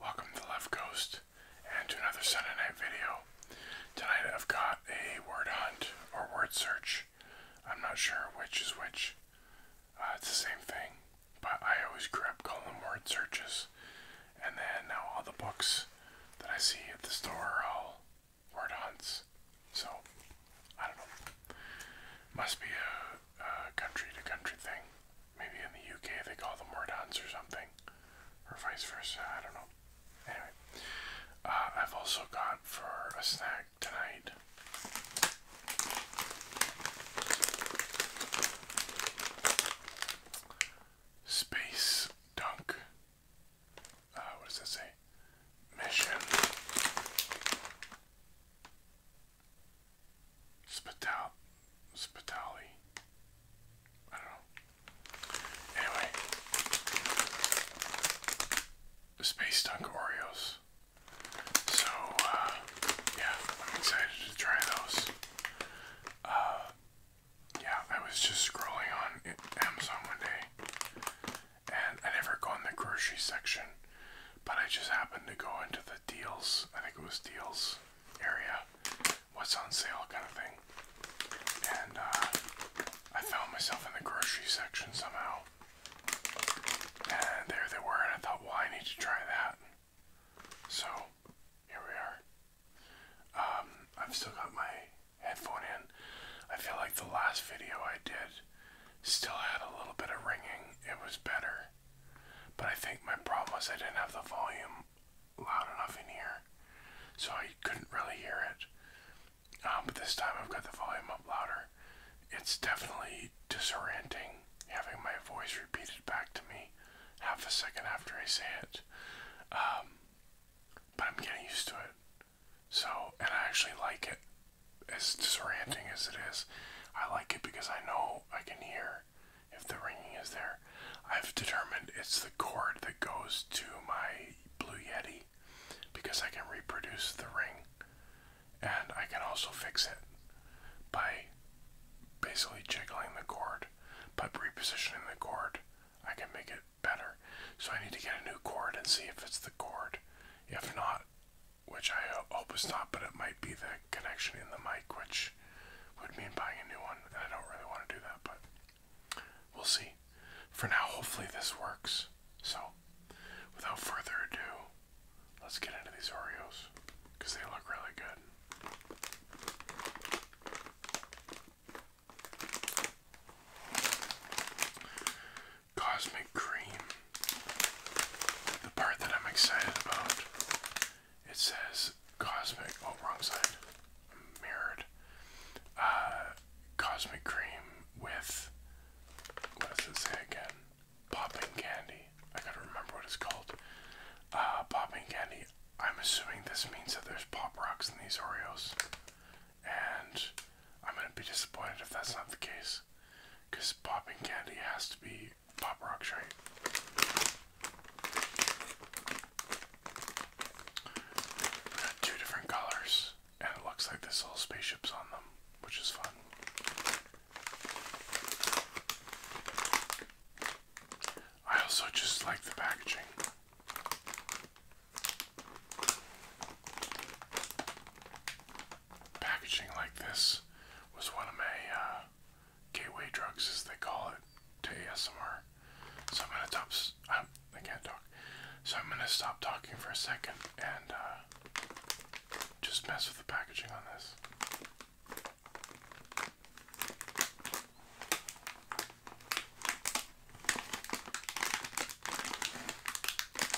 Welcome to Left Coast and to another Sunday night video. Tonight I've got a word hunt or word search. I'm not sure which is which. Uh, it's the same thing, but I always grab column word searches. And then now all the books that I see at the store, I'll word hunts. So, I don't know. Must be a, country to country thing. Maybe in the UK they call them word hunts or something, or vice versa. I don't know. Anyway, uh, I've also got for a snack tonight. Space Dunk uh, what does that say? Mission Spitali. I don't know. Anyway, Space Dunk Oreos. So, uh, yeah, I'm excited to try those. Uh, yeah, I was just scrolling on Amazon one day and I never go in the grocery section, but I just happened to go into the deals, I think it was deals area, what's on sale kind of thing, and uh, I found myself in the grocery section somehow, and there they were, and I thought, well, I need to try that, so here we are. Um, I've still got my headphone in. I feel like the last video I did Still had a little bit of ringing. It was better. But I think my problem was I didn't have the volume loud enough in here. So I couldn't really hear it. Um, but this time I've got the volume up louder. It's definitely disorienting having my voice repeated back to me half a second after I say it. Um, but I'm getting used to it. So, and I actually like it. As disorienting as it is, I like it because I know I can hear if the ringing is there. I've determined it's the cord that goes to my Blue Yeti because I can reproduce the ring and I can also fix it by basically jiggling the cord. By repositioning the cord, I can make it better. So I need to get a new cord and see if it's the cord if not, which I hope is not, but it might be the connection in the mic, which would mean buying a new one. And I don't really want to do that, but we'll see. For now, hopefully this works. So, without further ado, let's get into these Oreos because they look really good. Cosmic Cream. The part that I'm excited about, it says Cosmic, oh, wrong side, mirrored. Uh, Cosmic Cream with, what does it say again? Popping Candy. I gotta remember what it's called. Uh, popping Candy. I'm assuming this means that there's Pop Rocks in these Oreos and I'm gonna be disappointed if that's not the case. Cause popping candy has to be pop rock straight. We got two different colors, and it looks like this little spaceship's on them, which is fun. I also just like the packaging. Packaging like this was one of my uh, gateway drugs, as they call it, to ASMR. So I'm gonna stop. I can't talk. So I'm gonna stop talking for a second and uh, just mess with the packaging on this.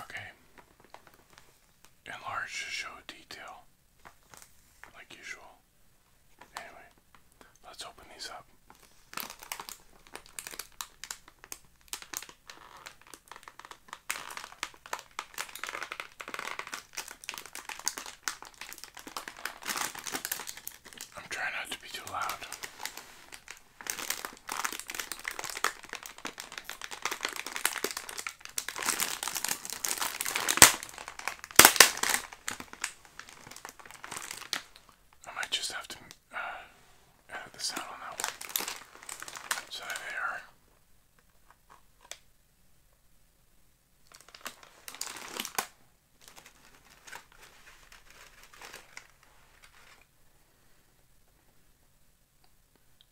Okay. Enlarge to show detail, like usual. Anyway let's open these up. I'm trying not to be too loud. I might just have to uh, edit this out on that one. So there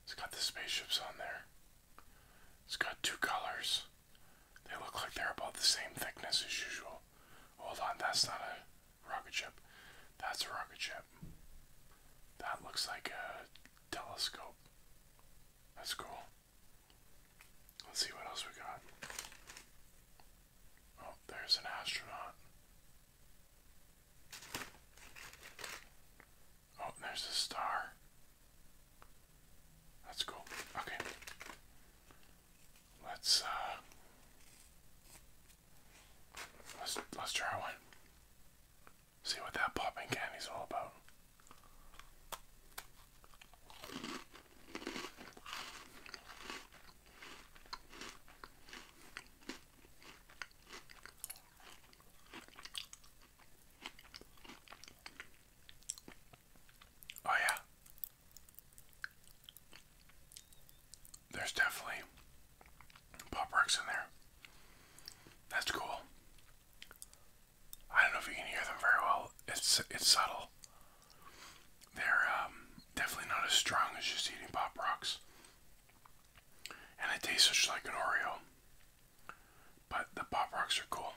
It's got the spaceships on there. It's got two colors. They look like they're about the same thickness as usual. Hold on, that's not a rocket ship. That's a rocket ship. That looks like a telescope. That's cool. Let's see what else we got. Oh, there's an astronaut. Oh, there's a star. That's cool. Okay. Let's uh let's let's try one. See what that popping candy's all about. Oh yeah, there's definitely pop rocks in there. That's cool. I don't know if you can hear them very well. It's it's subtle. They're um, definitely not as strong as just eating pop rocks, and it tastes just like an Oreo. But the pop rocks are cool.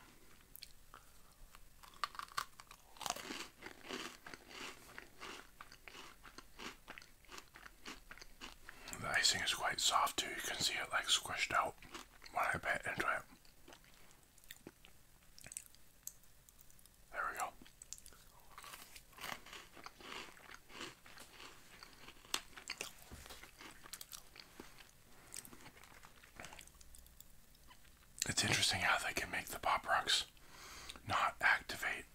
The icing is quite soft too, you can see it like squished out when I bit into it. There we go it's interesting how they can make the pop rocks not activate,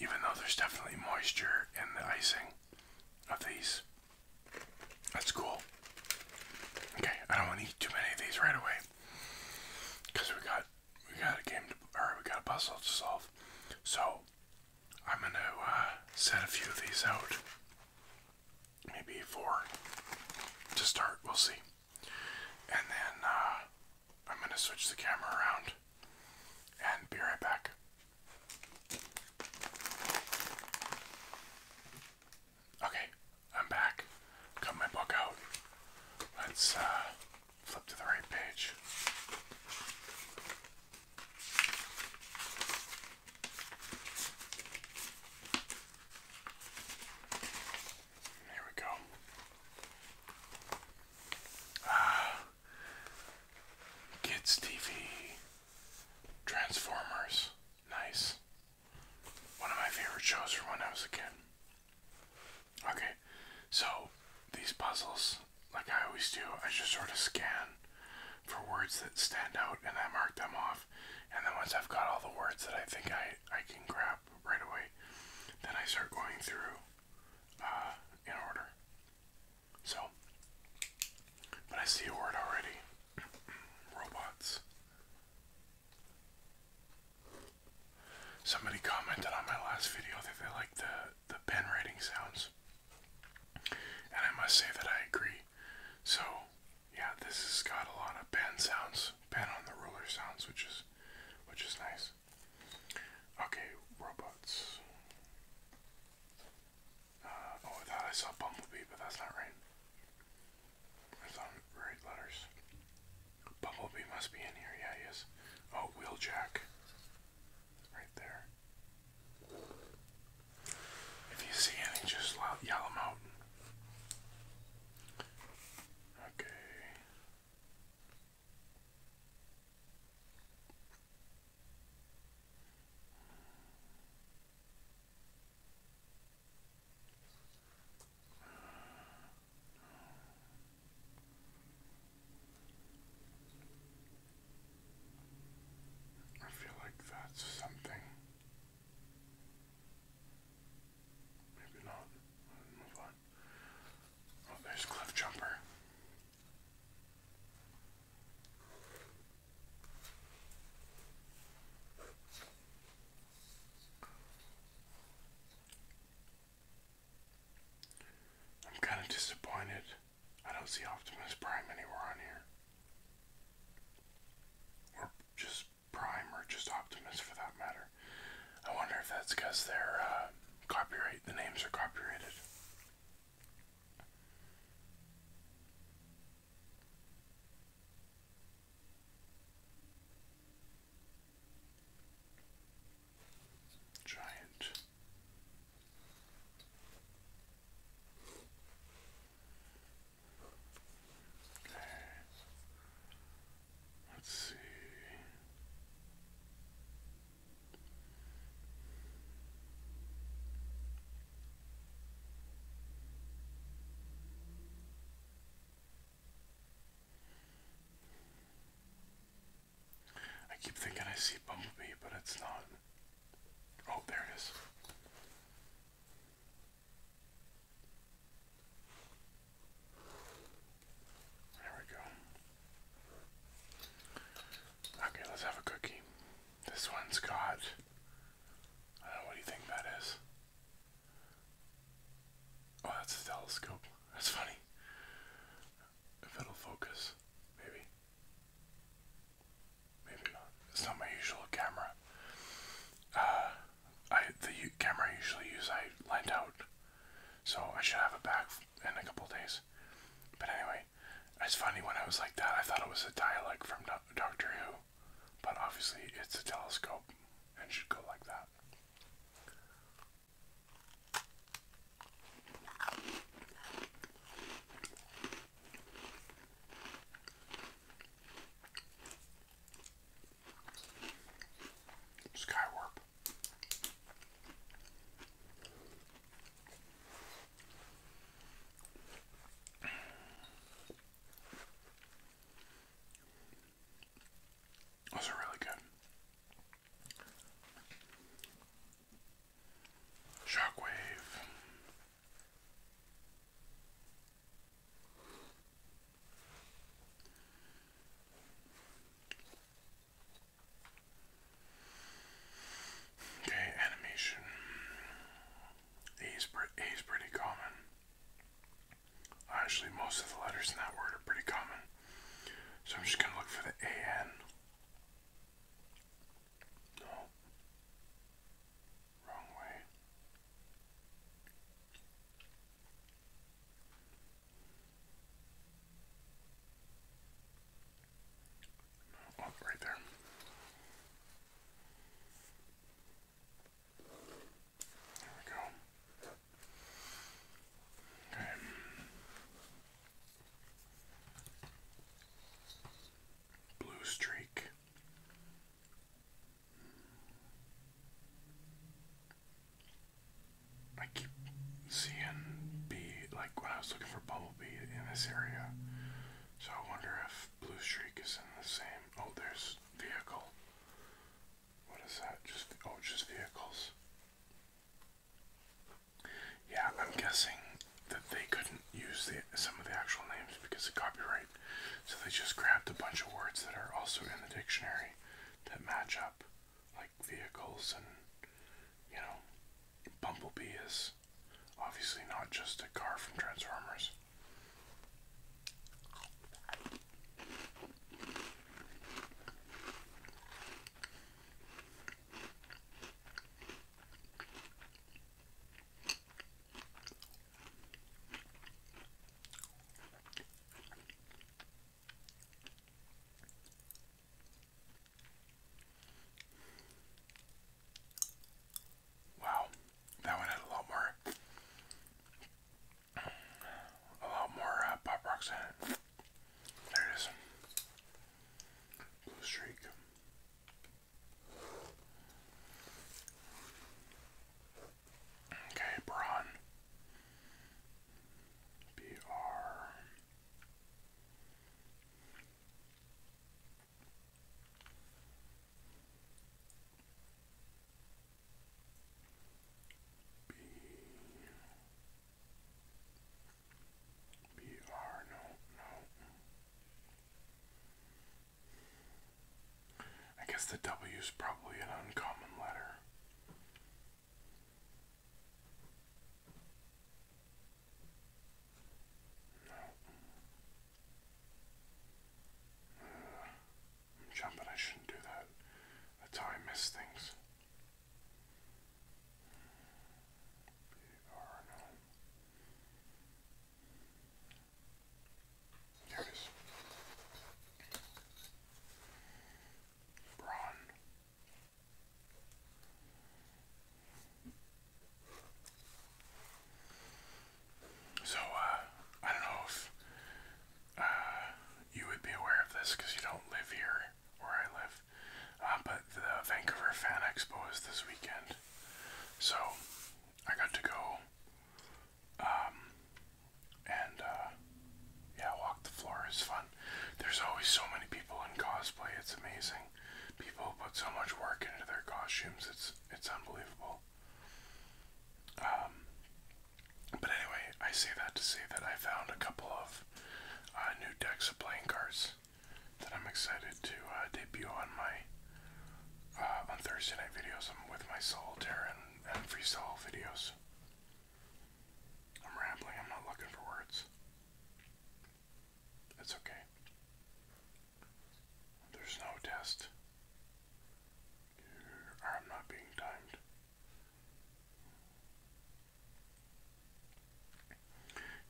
even though there's definitely moisture in the icing of these. That's cool. Okay, I don't want to eat too many of these right away, because we got we got a game to, or we got a puzzle to solve. So I'm gonna uh, set a few of these out, maybe four to start. We'll see. And then uh, I'm going to switch the camera around and be right back. Okay, I'm back. Got my book out. Let's uh, flip to the right page. Here we go. Ah, kids TV, Transformers, nice. One of my favorite shows from when I was a kid. Okay, so these puzzles, like I always do, I just sort of scan for words that stand out and I mark them off. And then once I've got all the words that I think I, I can grab, right away. Then I start going through uh, in order. So, but I see a word already. Robots. Somebody commented on my last video that they like the the pen writing sounds, and I must say that I agree. So, yeah, this has got a lot of pen sounds pen on the ruler sounds, which is which is nice. Okay, robots. Uh, oh, I thought I saw Bumblebee, but that's not right. It's on right letters. Bumblebee must be in here. Yeah, he Oh, Wheeljack. Right there. If you see any, just yell them out. Okay. I feel like that's something Maybe not. Move on. Oh, there's Cliff I'm kind of disappointed. I don't see Optimus Prime anywhere on here. Or just Prime or just Optimus for that matter. I wonder if that's because they're uh, copyright, the names are copyrighted. Giant. Let's see. I keep thinking I see Bumblebee, but it's not. Oh, there it is. There we go. Okay, let's have a cookie. This one's got. Uh, what do you think that is? Oh, that's a telescope. That's funny. If it'll focus, maybe. Maybe not. It's not my usual camera. Uh, I the camera I usually use I lent out, so I should have it back in a couple days. But anyway, it's funny when I was like that, I thought it was a dialect from Doctor Who, but obviously it's a telescope and should go like that. Skywarp. Those are really good. Shockwave. Okay, animation. A's, A's pretty common. Actually, most of the letters in that word are pretty common. So I'm just going to look for the AN. No. Wrong way. Oh, right there. There we go. Okay. Blue streak. I keep seeing bee, like when I was looking for bumblebee in this area. So I wonder if Blue Streak is in the same. Oh, there's vehicle. What is that? Just oh, just vehicles. Yeah, I'm guessing that they couldn't use the some of the actual names because of copyright, so they just grabbed a bunch of words that are also in the dictionary that match up, like vehicles and, you know, Bumblebee is obviously not just a car from Transformers. Wow, that one had a lot more, a lot more uh, pop rocks in it. There it is. Blue streak. Okay, Braun. B R. B B R no no I guess the W is probably an uncommon letter. No. Mm. jumping, I shouldn't do that. That's how I miss things. There Braun. So, uh, I don't know if uh, you would be aware of this because you don't live here where I live, uh, but the Vancouver Fan Expo is this weekend. So, I got to go um, and uh, yeah, walk the floor is fun. There's always so many people in cosplay. It's amazing. People put so much work into their costumes. It's it's unbelievable. Um, but anyway, I say that to say that I found a couple of uh, new decks of playing cards that I'm excited to uh, debut on my on Thursday night videos. with my soul, and and freestyle videos. I'm rambling, I'm not looking for words. It's okay. There's no test. I'm not being timed.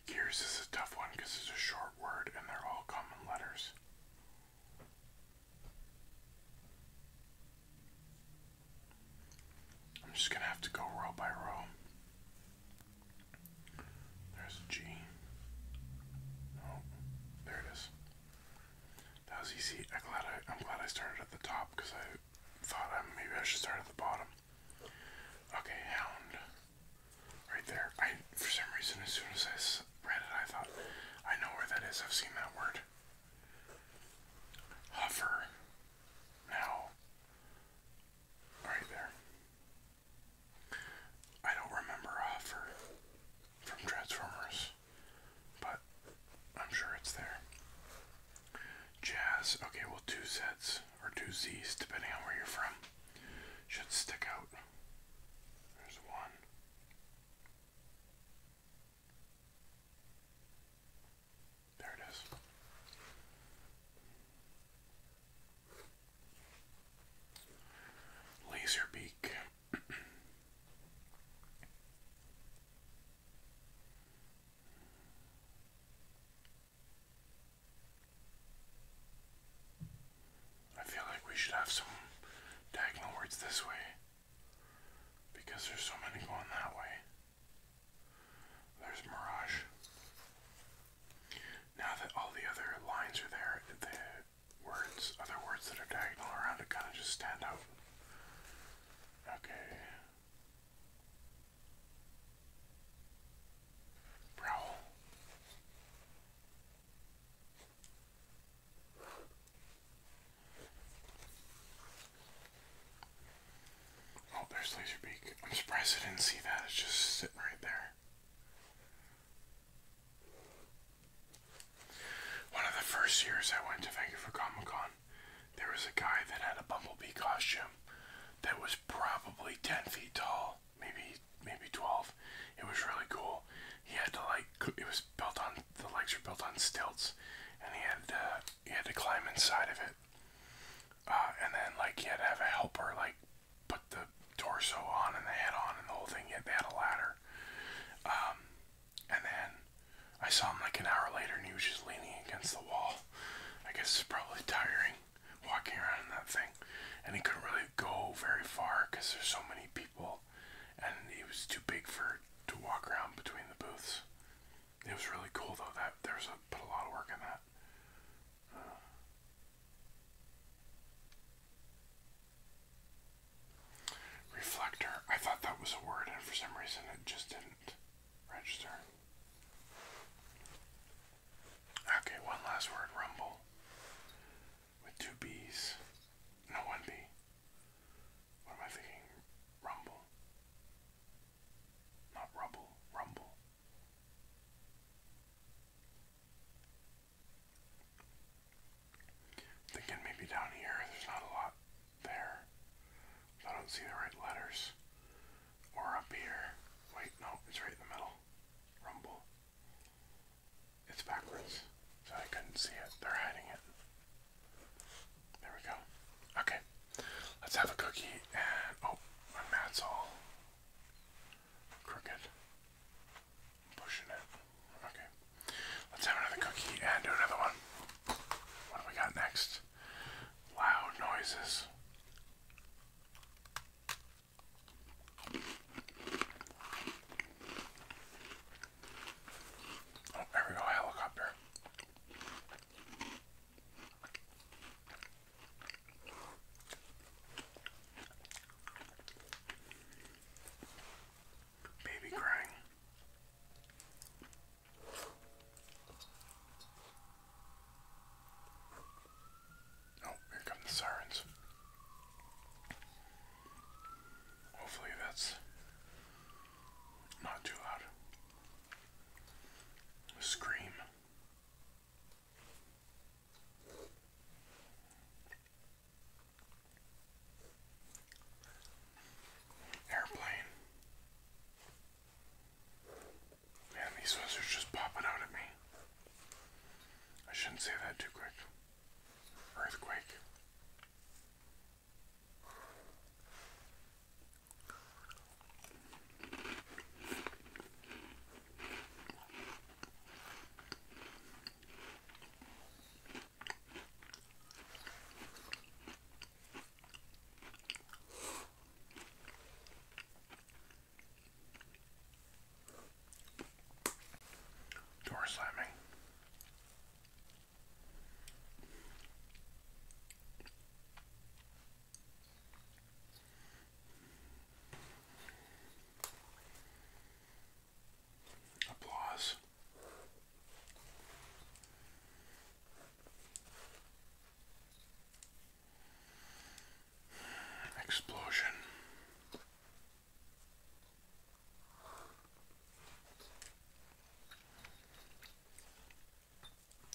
Gears is a tough one because it's a short word and they're all common letters. I'm just going to have to go row by row. There's a G. Oh, there it is. That was easy. I'm glad I, I'm glad I started at the top because I thought maybe I should start at the bottom. Okay, hound. Right there. I for some reason as soon as I read it, I thought I know where that is. I've seen that word. Hover now right there. I don't remember Hover from Transformers, but I'm sure it's there. Jazz, okay, well, two sets or two Z's, depending on where you're from, should stick out. There's one. There it is. Laser beak. I feel like we should have some diagonal words this way. Because there's so many going that way. There's Mirage. Now that all the other lines are there, the words, other words that are diagonal around it kind of just stand out. Okay. Prowl. Oh, there's Laserbeak. I'm surprised I didn't see that. It's just sitting right there. One of the first years I went to Vancouver Comic Con, there was a guy that had a bumblebee costume that was probably 10 feet tall, maybe maybe 12. It was really cool. He had to like it was built on the legs were built on stilts, and he had uh, he had to climb inside of it, uh, and then like he had to have a helper like put the torso on and the head on and the whole thing. Yet they had a ladder, um, and then I saw him like an hour later, and he was just leaning against the wall. I guess it's probably tiring walking around in that thing, and he couldn't really go very far because there's so many people and it was too big for to walk around between the booths. It was really cool though. That there's a put a lot of work in that. Uh. reflector. I thought that was a word, and for some reason it just didn't register. Okay, one last word. Rumble with two B's. No, one B. What am I thinking? Rumble. Not rubble, rumble. Thinking maybe down here, there's not a lot there. I don't see the right letters. Or up here. Wait, no, it's right in the middle. Rumble. It's backwards, so I couldn't see it. They're hiding it. There we go. Okay, let's have a cookie and oh, my mat's all crooked. pushing it. Okay, let's have another cookie and do another one. What do we got next? Loud noises. Oh, there we go, helicopter. Baby crying. Oh, here come the sirens. Hopefully that's not too loud. scream. Airplane. Man, these ones are just popping out at me. I shouldn't say that too quick. Earthquake. Door slamming. Applause. Explosion.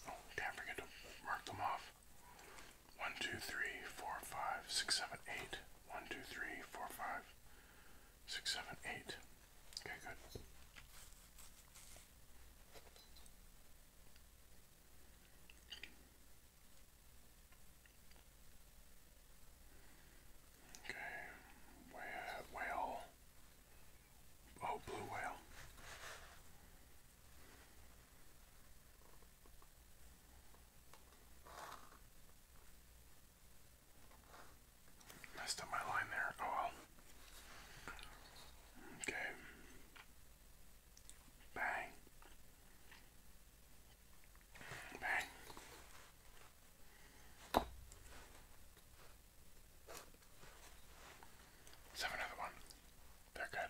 Oh, can't forget to mark them off. One, two, three, four, five, six, seven, eight. One, two, three, four, five, six, seven, eight. Okay, good. Okay, whale, whale. Oh, blue whale. Messed up my line there. Oh well. Okay. Bang. Bang. Let's have another one. They're good.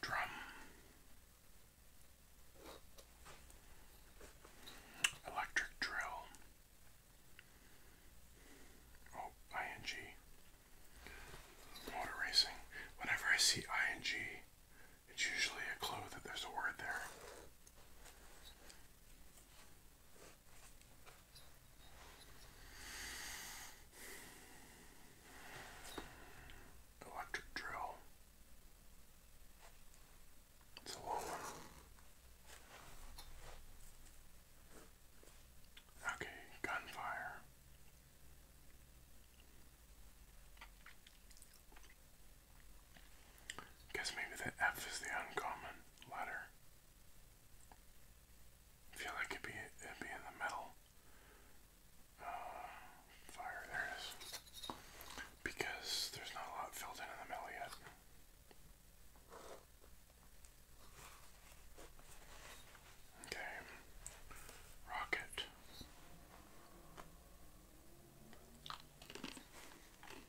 Drum. Electric drill. Oh, ING. Motor racing. Whenever I see ING, it's usually a clue that there's a word there. Electric drill. It's a long one. Okay, gunfire. Guess maybe the F is the uncommon letter. I feel like it'd be it'd be in the middle. Uh, fire, there Because there's not a lot filled in in the middle yet. Okay. Rocket.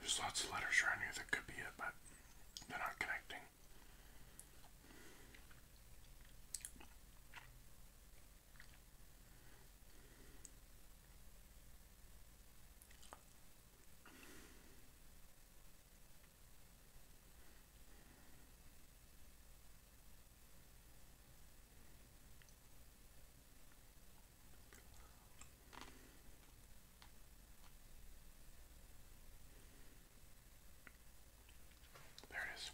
There's lots of letters around here that could be it, but they're not connecting. There it is.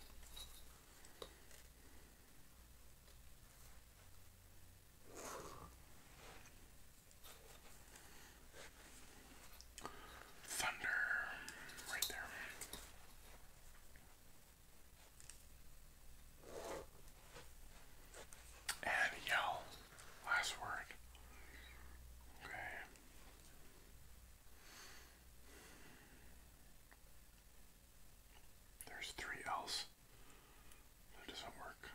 Thunder right there. And yell. Last word. Okay. There's three L's. doesn't work.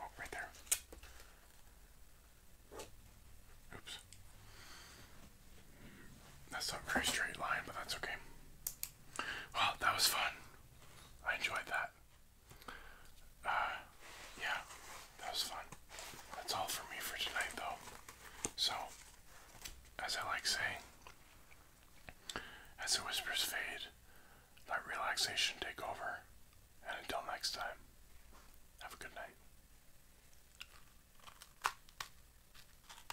Oh, right there. Oops. That's not a very straight line, but that's okay. Well, that was fun. I enjoyed that. Uh, yeah, that was fun. That's all for me for tonight, though. So, as I like saying, as the whispers fade, let relaxation take over. And until next time, have a good night.